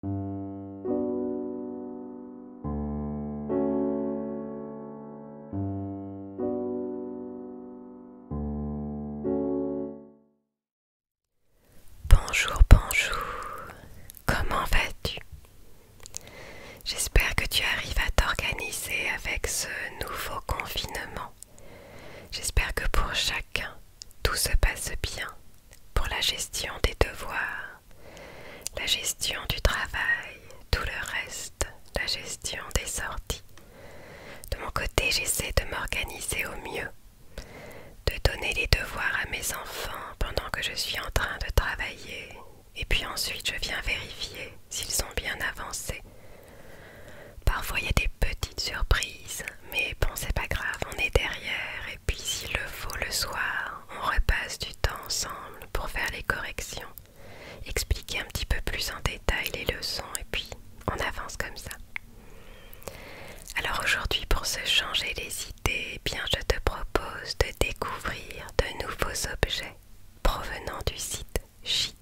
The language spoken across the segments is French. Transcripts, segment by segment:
Bonjour, bonjour, comment vas-tu J'espère que tu arrives à t'organiser avec ce nouveau confinement. J'espère que pour chacun, tout se passe bien pour la gestion des devoirs, la gestion du travail, tout le reste, la gestion des sorties. De mon côté, j'essaie de m'organiser au mieux, de donner les devoirs à mes enfants pendant que je suis en train de travailler, et puis ensuite je viens vérifier s'ils sont bien avancés. Parfois il y a des petites surprises, mais bon c'est pas grave, on est derrière et puis s'il le faut le soir, on repasse du temps ensemble pour faire les corrections, expliquer un petit peu plus en détail les leçons et puis on avance comme ça. Alors aujourd'hui pour se changer les idées, eh bien je te propose de découvrir de nouveaux objets provenant du site Shein.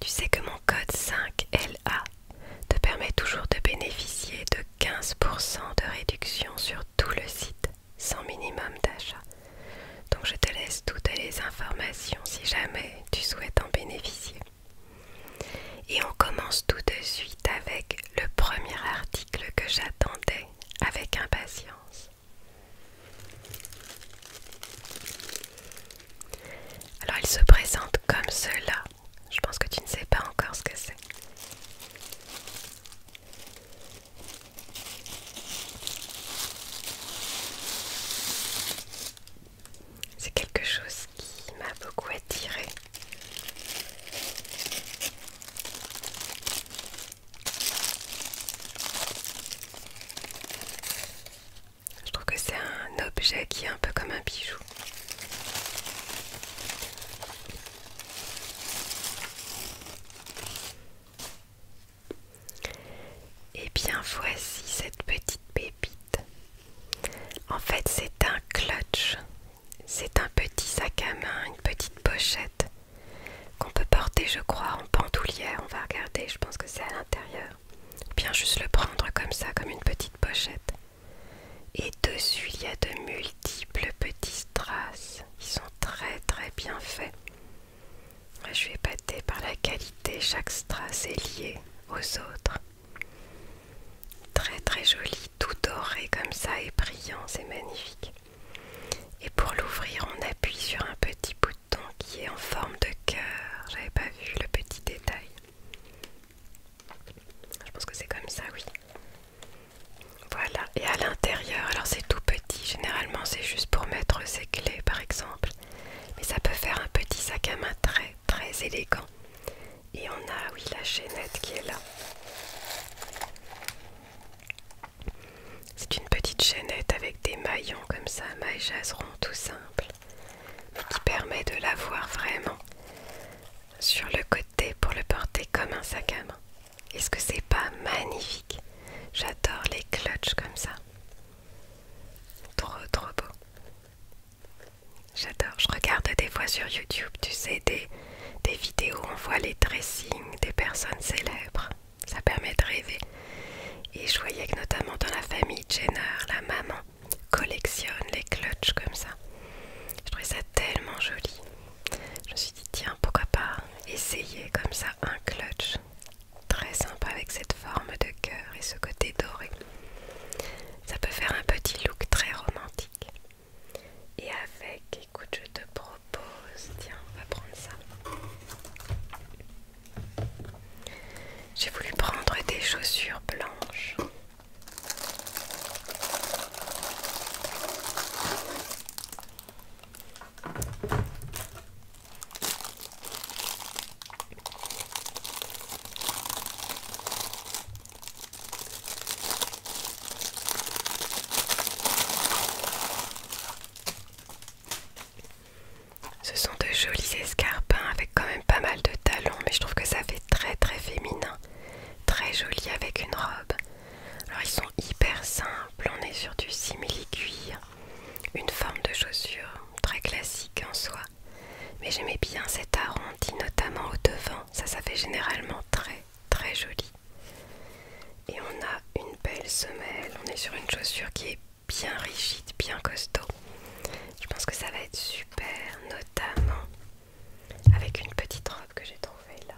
Tu sais que mon code 5LA te permet toujours de bénéficier de 15% de réduction sur tout le site sans minimum d'achat. Donc je te laisse toutes les informations si jamais tu souhaites en bénéficier. Et on commence tout de suite avec le premier article que j'attendais avec impatience. Alors il se présente comme cela. Je pense que tu ne sais pas encore ce que c'est. C'est quelque chose qui m'a beaucoup attirée. Je trouve que c'est un objet qui est un peu comme un bijou. Et eh bien voici cette petite pépite. En fait c'est un clutch. C'est un petit sac à main, une petite pochette qu'on peut porter je crois en pantoulière. On va regarder, je pense que c'est à l'intérieur. Bien juste le prendre comme ça, comme une petite pochette. Et dessus, il y a de multiples petits strass. qui sont très très bien faits. Je suis épatée par la qualité. Chaque strass est lié aux autres. Très très joli, tout doré comme ça et brillant. C'est magnifique. Et pour l'ouvrir, on appuie sur un petit bouton qui est en forme de cœur. J'avais pas vu le petit détail. Je pense que c'est comme ça, oui. Voilà, et à l'intérieur, alors c'est tout petit, généralement c'est juste pour mettre ses clés par exemple. Mais ça peut faire un petit sac à main très très élégant. Et on a, oui, la chaînette qui est là. C'est une petite chaînette avec des maillons comme ça, mailles jaserons tout simple, qui permet de l'avoir vraiment sur le côté pour le porter comme un sac à main. Est-ce que c'est pas magnifique J'adore les clutches comme ça. Trop trop beau. J'adore. Je regarde des fois sur YouTube, tu sais, des, vidéos où on voit les dressings des personnes célèbres. Ça permet de rêver. Et je voyais que notamment dans la famille Jenner, la maman collectionne les clutches comme ça. Je trouvais ça tellement joli. Je me suis dit, tiens, pourquoi pas essayer comme ça un clutch très sympa avec cette forme de cœur et ce côté doré. Ça peut faire un petit look très romantique. Et avec, écoute, je te propose, tiens, on va prendre ça. J'ai voulu prendre des chaussures blanches ce sont de jolis escarpins avec quand même pas mal de talons, mais je trouve que ça fait très très féminin, très joli avec une robe. Alors ils sont hyper simples, on est sur du simili-cuir, une forme de chaussure très classique en soi. Mais j'aimais bien cet arrondi, notamment au devant, ça ça fait généralement très très joli. Et on a une belle semelle, on est sur une chaussure qui est bien rigide, bien costaud. Je pense que ça va être super, notamment avec une petite robe que j'ai trouvée là.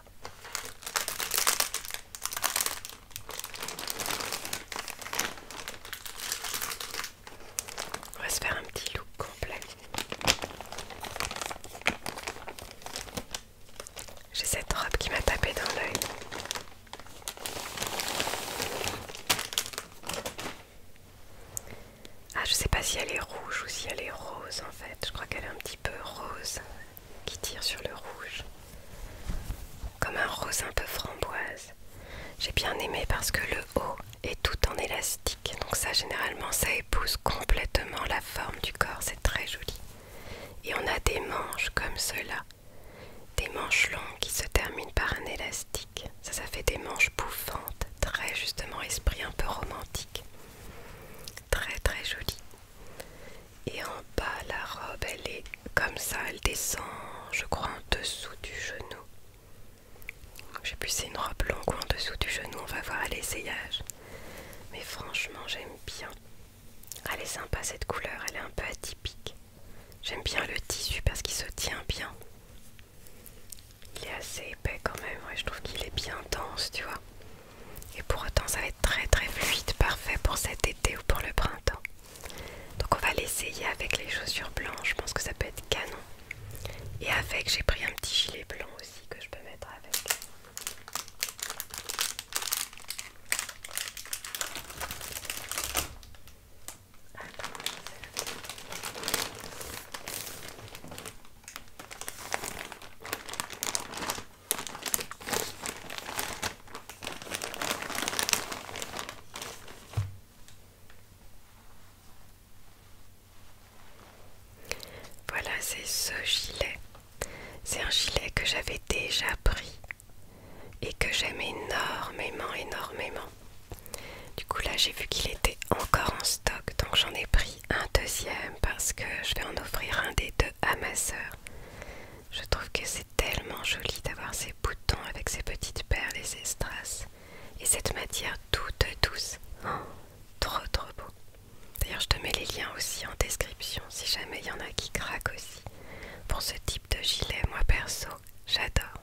On va se faire un petit look complet. J'ai cette robe qui m'a tapé dans l'œil. Ah, je sais pas si elle est rouge ou si elle est rose en fait. Je crois qu'elle est un petit peu rose qui tire sur le rouge. Comme un rose un peu framboise. J'ai bien aimé parce que le haut est tout en élastique. Donc ça généralement ça épouse complètement la forme du corps. C'est très joli. Et on a des manches comme cela. Des manches longues qui se terminent par un élastique. Ça, ça fait des manches bouffantes, très justement esprit un peu romantique. Très très joli Et en bas, la robe, elle est comme ça, elle descend, je crois, en dessous du genou. Je sais plus c'est une robe longue en dessous du genou, on va voir à l'essayage. Mais franchement, j'aime bien. Elle est sympa cette couleur, elle est un peu atypique. J'aime bien le tissu parce qu'il se tient bien. Il est assez épais quand même, je trouve qu'il est bien dense, tu vois. Et pour autant, ça va être très très fluide, parfait pour cet été ou pour le printemps. Donc on va l'essayer avec les chaussures blanches, je pense que ça peut être canon. Et avec, j'ai pris un petit gilet blanc aussi que je peux mettre avec voilà, c'est ce gilet. C'est un gilet que j'avais déjà pris et que j'aime énormément, énormément. Du coup là j'ai vu qu'il était encore en stock donc j'en ai pris un deuxième parce que je vais en offrir un des deux à ma soeur Je trouve que c'est tellement joli d'avoir ces boutons avec ces petites perles et ces strass et cette matière toute douce. Oh, trop trop beau. D'ailleurs je te mets les liens aussi en description si jamais il y en a qui craquent aussi. Pour ce type de gilet moi perso j'adore.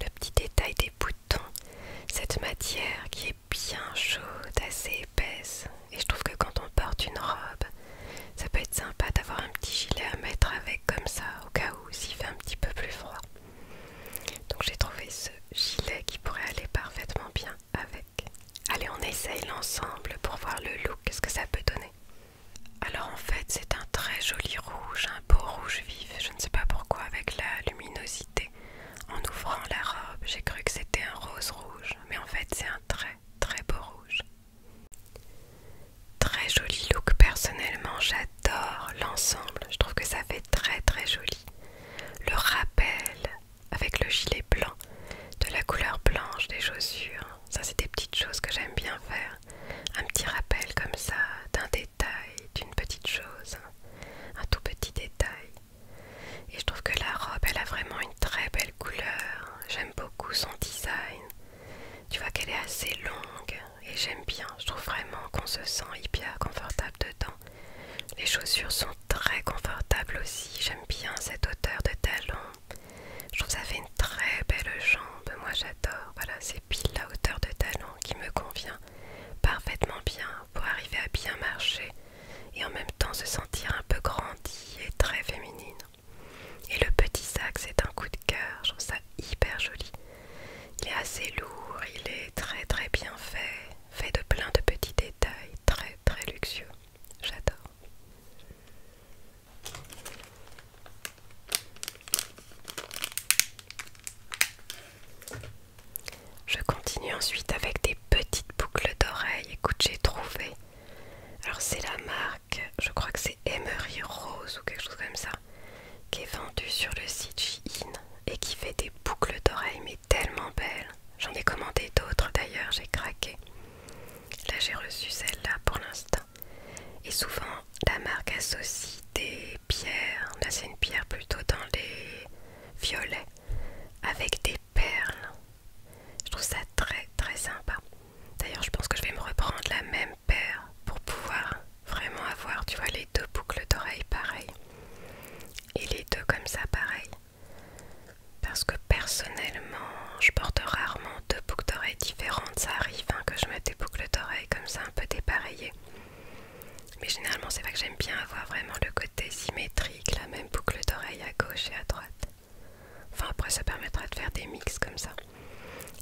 Le petit détail des boutons, cette matière qui est bien chaude, assez épaisse. Et je trouve que quand on porte une robe, ça peut être sympa d'avoir un petit gilet à mettre avec comme ça, au cas où il fait un petit peu plus froid. Donc j'ai trouvé ce gilet qui pourrait aller parfaitement bien avec. Allez, on essaye l'ensemble pour voir le look, ce que ça peut donner. Alors en fait, c'est un très joli rouge, beau rouge vif, je ne sais pas pourquoi, avec la luminosité. En ouvrant la robe, j'ai cru que c'était un rose rouge, mais en fait c'est un très très beau rouge. Très joli look, personnellement j'adore l'ensemble, je trouve que ça fait très très joli. Le rappel avec le gilet blanc, de la couleur blanche des chaussures, ça c'est des petites choses que j'aime bien faire. Un petit rappel comme ça, d'un détail, d'une petite chose, un tout petit détail. Et je trouve que la robe, elle a vraiment une très belle couleur. J'aime beaucoup son design. Tu vois qu'elle est assez longue et j'aime bien. Je trouve vraiment qu'on se sent hyper confortable dedans. Les chaussures sont très confortables aussi. J'aime bien cette hauteur de talon. Je trouve ça fait une très belle jambe. Moi j'adore. Voilà, c'est la hauteur de talon qui me convient parfaitement bien pour arriver à bien marcher et en même temps se sentir un peu grandi et très féminine. Et le petit sac, c'est un coup de cœur, je trouve ça hyper joli. Il est assez lourd, il est très très bien fait, fait de plein de petits détails, très très luxueux. J'adore. Je continue ensuite avec des petites boucles d'oreilles. Écoute, j'ai trouvé. Alors c'est la marque, je crois que c'est Emery Rose ou quelque chose comme ça, qui est vendue sur le site Shein et qui fait des boucles d'oreilles mais tellement belles. J'en ai commandé d'autres d'ailleurs, j'ai craqué. Là j'ai reçu celle-là pour l'instant. Et souvent la marque associe des pierres, là c'est une pierre plutôt dans les violets, avec des perles. Je trouve ça très très sympa. D'ailleurs je pense que je vais me reprendre la même paire pour pouvoir vraiment avoir, tu vois, les deux boucles d'oreilles pareilles. Et les deux comme ça pareil. Parce que personnellement, je porte rarement deux boucles d'oreilles différentes. Ça arrive hein, que je mette des boucles d'oreilles comme ça un peu dépareillées. Mais généralement, c'est vrai que j'aime bien avoir vraiment le côté symétrique, la même boucle d'oreille à gauche et à droite. Enfin, après, ça permettra de faire des mix comme ça.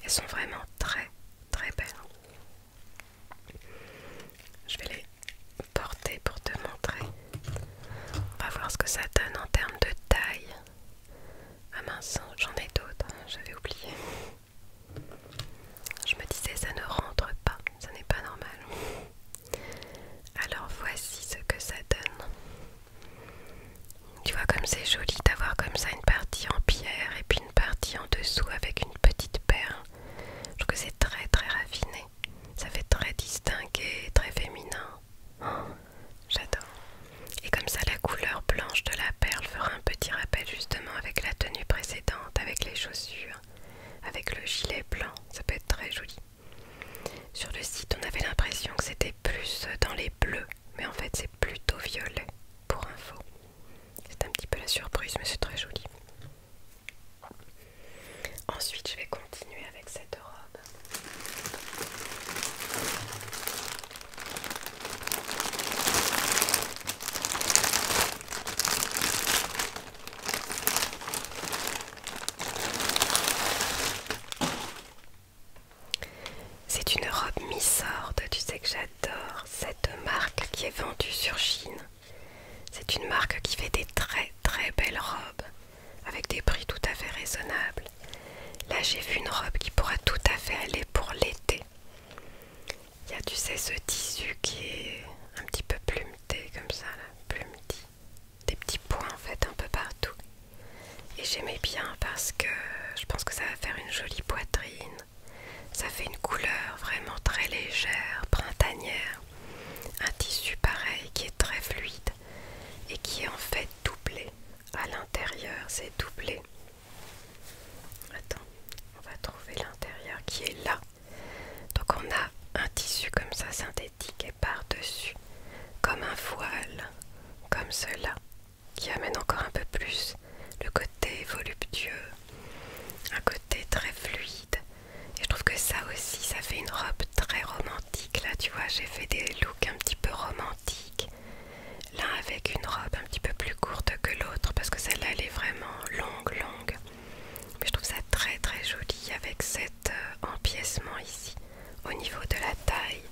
Elles sont vraiment très très belles. Je vais les porter pour te montrer. On va voir ce que ça donne en termes de taille. Ah mince, j'en ai d'autres, hein, j'avais oublié. Je me disais, ça ne rentre pas, ça n'est pas normal. Alors voici ce que ça donne. Tu vois comme c'est joli d'avoir comme ça une partie en pierre et puis une partie en dessous avec une petite perle. Je trouve que c'est très très raffiné. Ça fait très distingué, très féminin. Oh, j'adore. Et comme ça la couleur blanche de la perle fera un petit rappel justement avec la tenue précédente avec les chaussures, avec le gilet blanc, ça peut être très joli. Sur le site, on avait l'impression que c'était plus dans les bleus, mais en fait c'est plutôt violet pour info. C'est un petit peu la surprise, mais c'est très joli. Ensuite, je vais continuer avec cette robe. C'est une robe mi-sorte, tu sais que j'adore cette marque qui est vendue sur Chine. C'est une marque qui fait des très très belles robes avec des prix tout à fait raisonnables. Là j'ai vu une robe qui pourra tout à fait aller pour l'été. Il y a, tu sais, ce tissu qui est un petit peu plumeté, comme ça, là, plumeté. Des petits points, en fait, un peu partout. Et j'aimais bien parce que je pense que ça va faire une jolie poitrine. Ça fait une couleur vraiment très légère, printanière. Un tissu pareil qui est très fluide et qui est en fait doublé. À l'intérieur, c'est doublé. Attends, on va trouver l'intérieur qui est là. Donc on a un tissu comme ça synthétique et par-dessus, comme un voile, comme cela, qui amène encore un peu plus le côté voluptueux, un côté très fluide. Et je trouve que ça aussi, ça fait une robe très romantique. Là, tu vois, j'ai fait des looks un petit peu romantiques l'un avec une robe un petit peu plus courte que l'autre parce que celle-là elle est vraiment longue longue mais je trouve ça très très joli avec cet euh, empiècement ici au niveau de la taille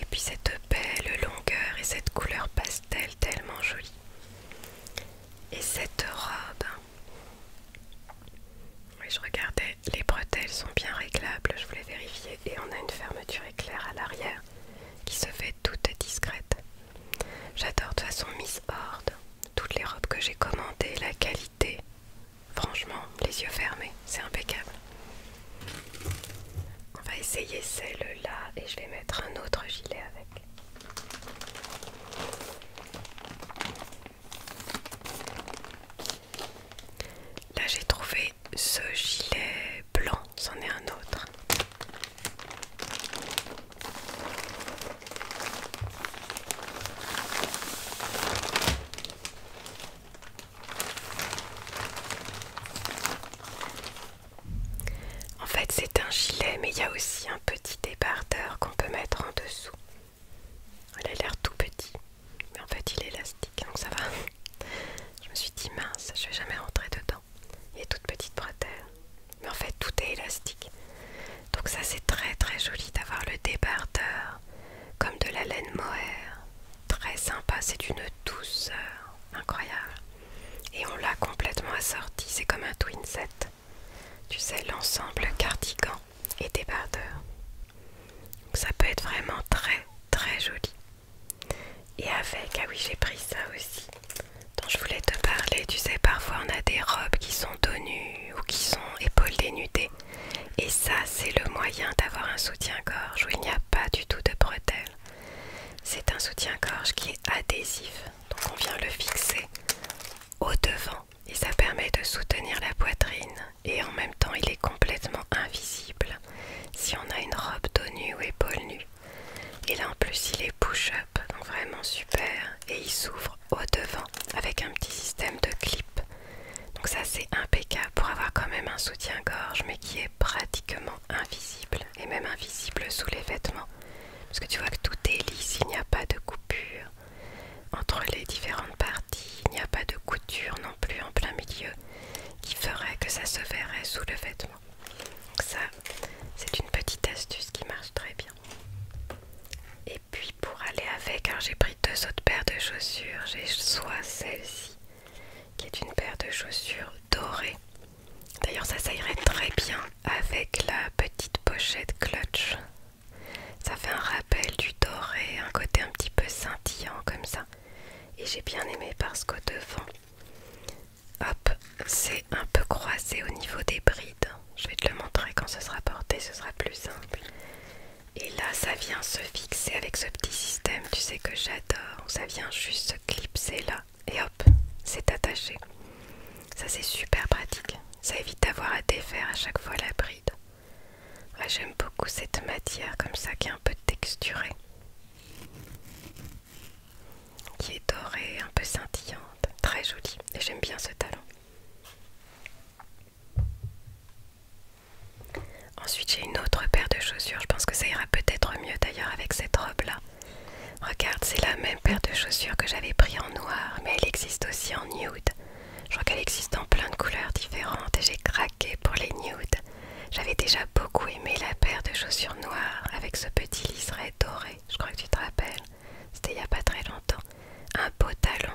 et puis cette belle longueur et cette couleur pastel tellement jolie et cette robe oui, je regardais, les bretelles sont bien réglables, je voulais vérifier. Et on a une fermeture éclair à l'arrière qui se fait toute discrète. J'adore de toute façon Miss Horde. Toutes les robes que j'ai commandées, la qualité. Franchement, les yeux fermés, c'est impeccable. On va essayer celle-là et je vais mettre un autre gilet avec. Là j'ai trouvé ce gilet blanc, c'en est un autre. En fait, c'est un gilet, mais il y a aussi un petit débardeur qu'on peut mettre en dessous. Elle a l'air tout petit, mais en fait, il est élastique, donc ça va. Je me suis dit mince, je vais jamais rentrer dedans. Il et toute petite bretelle. Mais en fait, tout est élastique. Donc ça, c'est très très joli d'avoir le débardeur comme de la laine mohair. Très sympa, c'est d'une douceur incroyable. Et on l'a complètement assorti, c'est comme un twin set. Tu sais, l'ensemble cardigan et débardeur. Donc ça peut être vraiment très très joli. Et avec, ah oui j'ai pris ça aussi, dont je voulais te parler, tu sais parfois on a des robes qui sont dos nues ou qui sont épaules dénudées. Et ça c'est le moyen d'avoir un soutien-gorge où il n'y a pas du tout de bretelles. C'est un soutien-gorge qui est adhésif, donc on vient le fixer au devant et ça permet de soutenir la poitrine et en même temps il est complètement invisible si on a une robe dos nue ou épaules nues et là en plus il est push-up, donc vraiment super. Et il s'ouvre au devant avec un petit système de clip. Donc ça c'est impeccable pour avoir quand même un soutien-gorge mais qui est pratiquement invisible. Et même invisible sous les vêtements. Parce que tu vois que tout est lisse, il n'y a pas de coupure. Entre les différentes parties, il n'y a pas de couture non plus en plein milieu qui ferait que ça se verrait sous le vêtement. Donc ça, c'est une petite astuce qui marche très bien. Et puis pour aller avec, hein, j'ai pris deux autres paires de chaussures. J'ai soit celle-ci, qui est une paire de chaussures dorées. D'ailleurs ça, ça irait très bien avec la petite pochette clutch. Ça fait un rappel du doré, un côté un petit peu scintillant comme ça. Et j'ai bien aimé parce qu'au devant, hop, c'est un peu croisé au niveau des brides. Je vais te le montrer quand ce sera porté, ce sera plus simple. Et là, ça vient se fixer avec ce petit système, tu sais que j'adore. Ça vient juste se clipser là, et hop, c'est attaché. Ça, c'est super pratique. Ça évite d'avoir à défaire à chaque fois la bride. J'aime beaucoup cette matière comme ça qui est un peu texturée qui est dorée, un peu scintillante, très jolie. Et j'aime bien ce talon. Ensuite, j'ai une autre paire de chaussures. Je pense que ça ira peut-être mieux d'ailleurs avec cette robe-là. Regarde, c'est la même paire de chaussures que j'avais pris en noir, mais elle existe aussi en nude. Je crois qu'elle existe en plein de couleurs différentes et j'ai craqué pour les nudes. J'avais déjà beaucoup aimé la paire de chaussures noires avec ce petit liseré doré, je crois que tu te rappelles, c'était il n'y a pas très longtemps. Un beau talon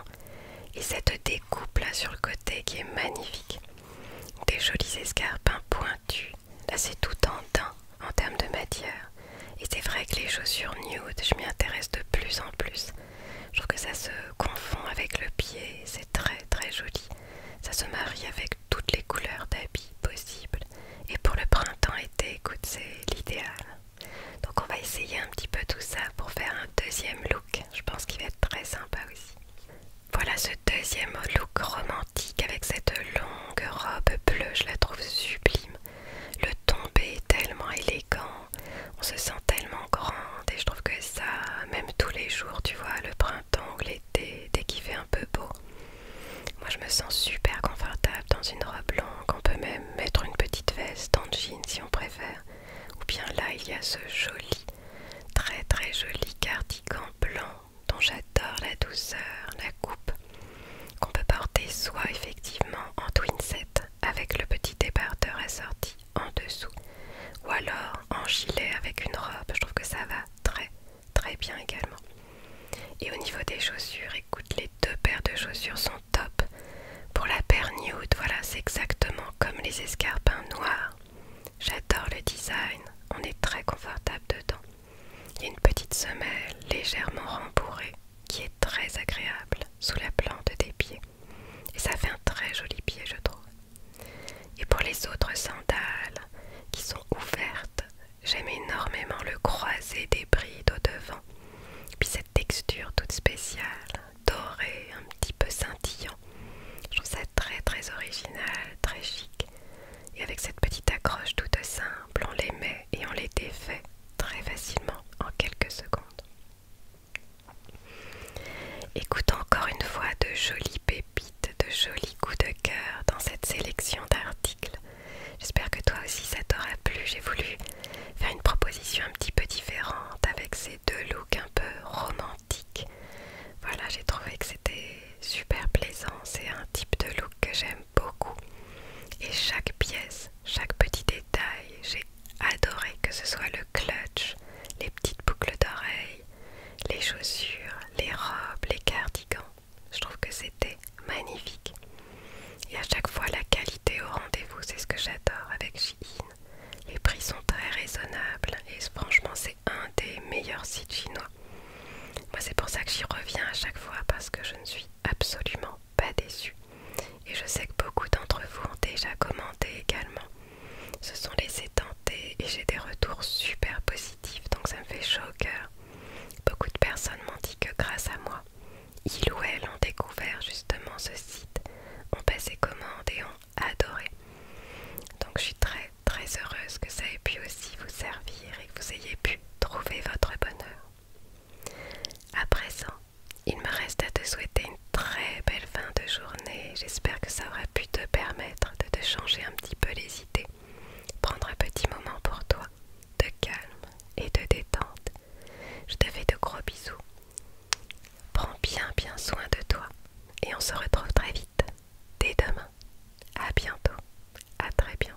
et cette découpe là sur le côté qui est magnifique. Des jolis escarpins pointus, là c'est tout en teint en termes de matière. Et c'est vrai que les chaussures nude, je m'y intéresse de plus en plus. Je trouve que ça se confond avec le pied, c'est très très joli. Ça se marie avec toutes les couleurs d'habits possible. Et pour le printemps-été, écoute, c'est l'idéal. Donc on va essayer un petit peu tout ça pour faire un deuxième look. Je pense qu'il va être très sympa aussi. Voilà ce deuxième look romantique avec cette longue robe bleue, je la trouve sublime. Le tombé est tellement élégant, on se sent tellement grande et je trouve que ça, même tous les jours, tu vois, le printemps ou l'été, dès qu'il fait un peu beau, moi je me sens super confortable dans une robe longue, on peut même mettre une petite veste en jean si on préfère. Ou bien là il y a ce joli, très très joli cardigan blanc dont j'adore la douceur, la coupe, qu'on peut porter soit effectivement en twin set avec le petit débardeur assorti en dessous, ou alors en gilet avec une robe, je trouve que ça va très très bien également. Et au niveau des chaussures, écoute, les deux paires de chaussures sont top. Pour la paire nude, voilà, c'est exactement comme les escarpins noirs. J'adore le design, on est très confortable dedans. Il y a une petite semelle légèrement rembourrée qui est très agréable sous la plante des pieds. Et ça fait un très joli pied, je trouve. Et pour les autres sandales qui sont ouvertes, j'aime énormément le croisé des brides au devant. Puis cette texture toute spéciale, dorée, un petit peu scintillant. Je trouve ça très très original, très chic. Et avec cette petite accroche toute simple, on les met et on les défait très facilement en quelques secondes. Écoute encore une fois de jolis bébés de jolis coups de cœur dans cette sélection d'articles. J'espère que toi aussi ça t'aura plu. J'ai voulu faire une proposition un petit peu différente avec ces deux looks un peu romantiques. Voilà, j'ai trouvé que c'était super plaisant. C'est un type de look que j'aime beaucoup. Et chaque pièce, chaque petit détail, j'ai adoré que ce soit le clutch, les petites boucles d'oreilles, les chaussures, les robes, les cardigans. Je trouve que c'était magnifique. Et à chaque fois, la qualité au rendez-vous, c'est ce que j'adore avec Shein. Les prix sont très raisonnables et franchement, c'est un des meilleurs sites chinois. Moi, c'est pour ça que j'y reviens à chaque fois parce que je ne suis absolument pas déçue. Et je sais que beaucoup d'entre vous ont déjà commenté également. Ce sont laissés tenter et j'ai des retours super positifs donc ça me fait chaud au cœur. Beaucoup de personnes m'ont dit que grâce à moi, ils ou elles ont découvert justement ce site, ont passé commande et ont adoré. Donc je suis très très heureuse que ça ait pu aussi vous servir et que vous ayez pu trouver votre bonheur. À présent, il me reste à te souhaiter une très belle fin de journée. J'espère que ça aura pu te permettre de te changer un petit peu les idées Prendre un petit moment pour toi, de calme et de détente. Je te fais de gros bisous. Prends bien bien soin de toi et on se retrouve très vite, dès demain. À bientôt, à très bientôt.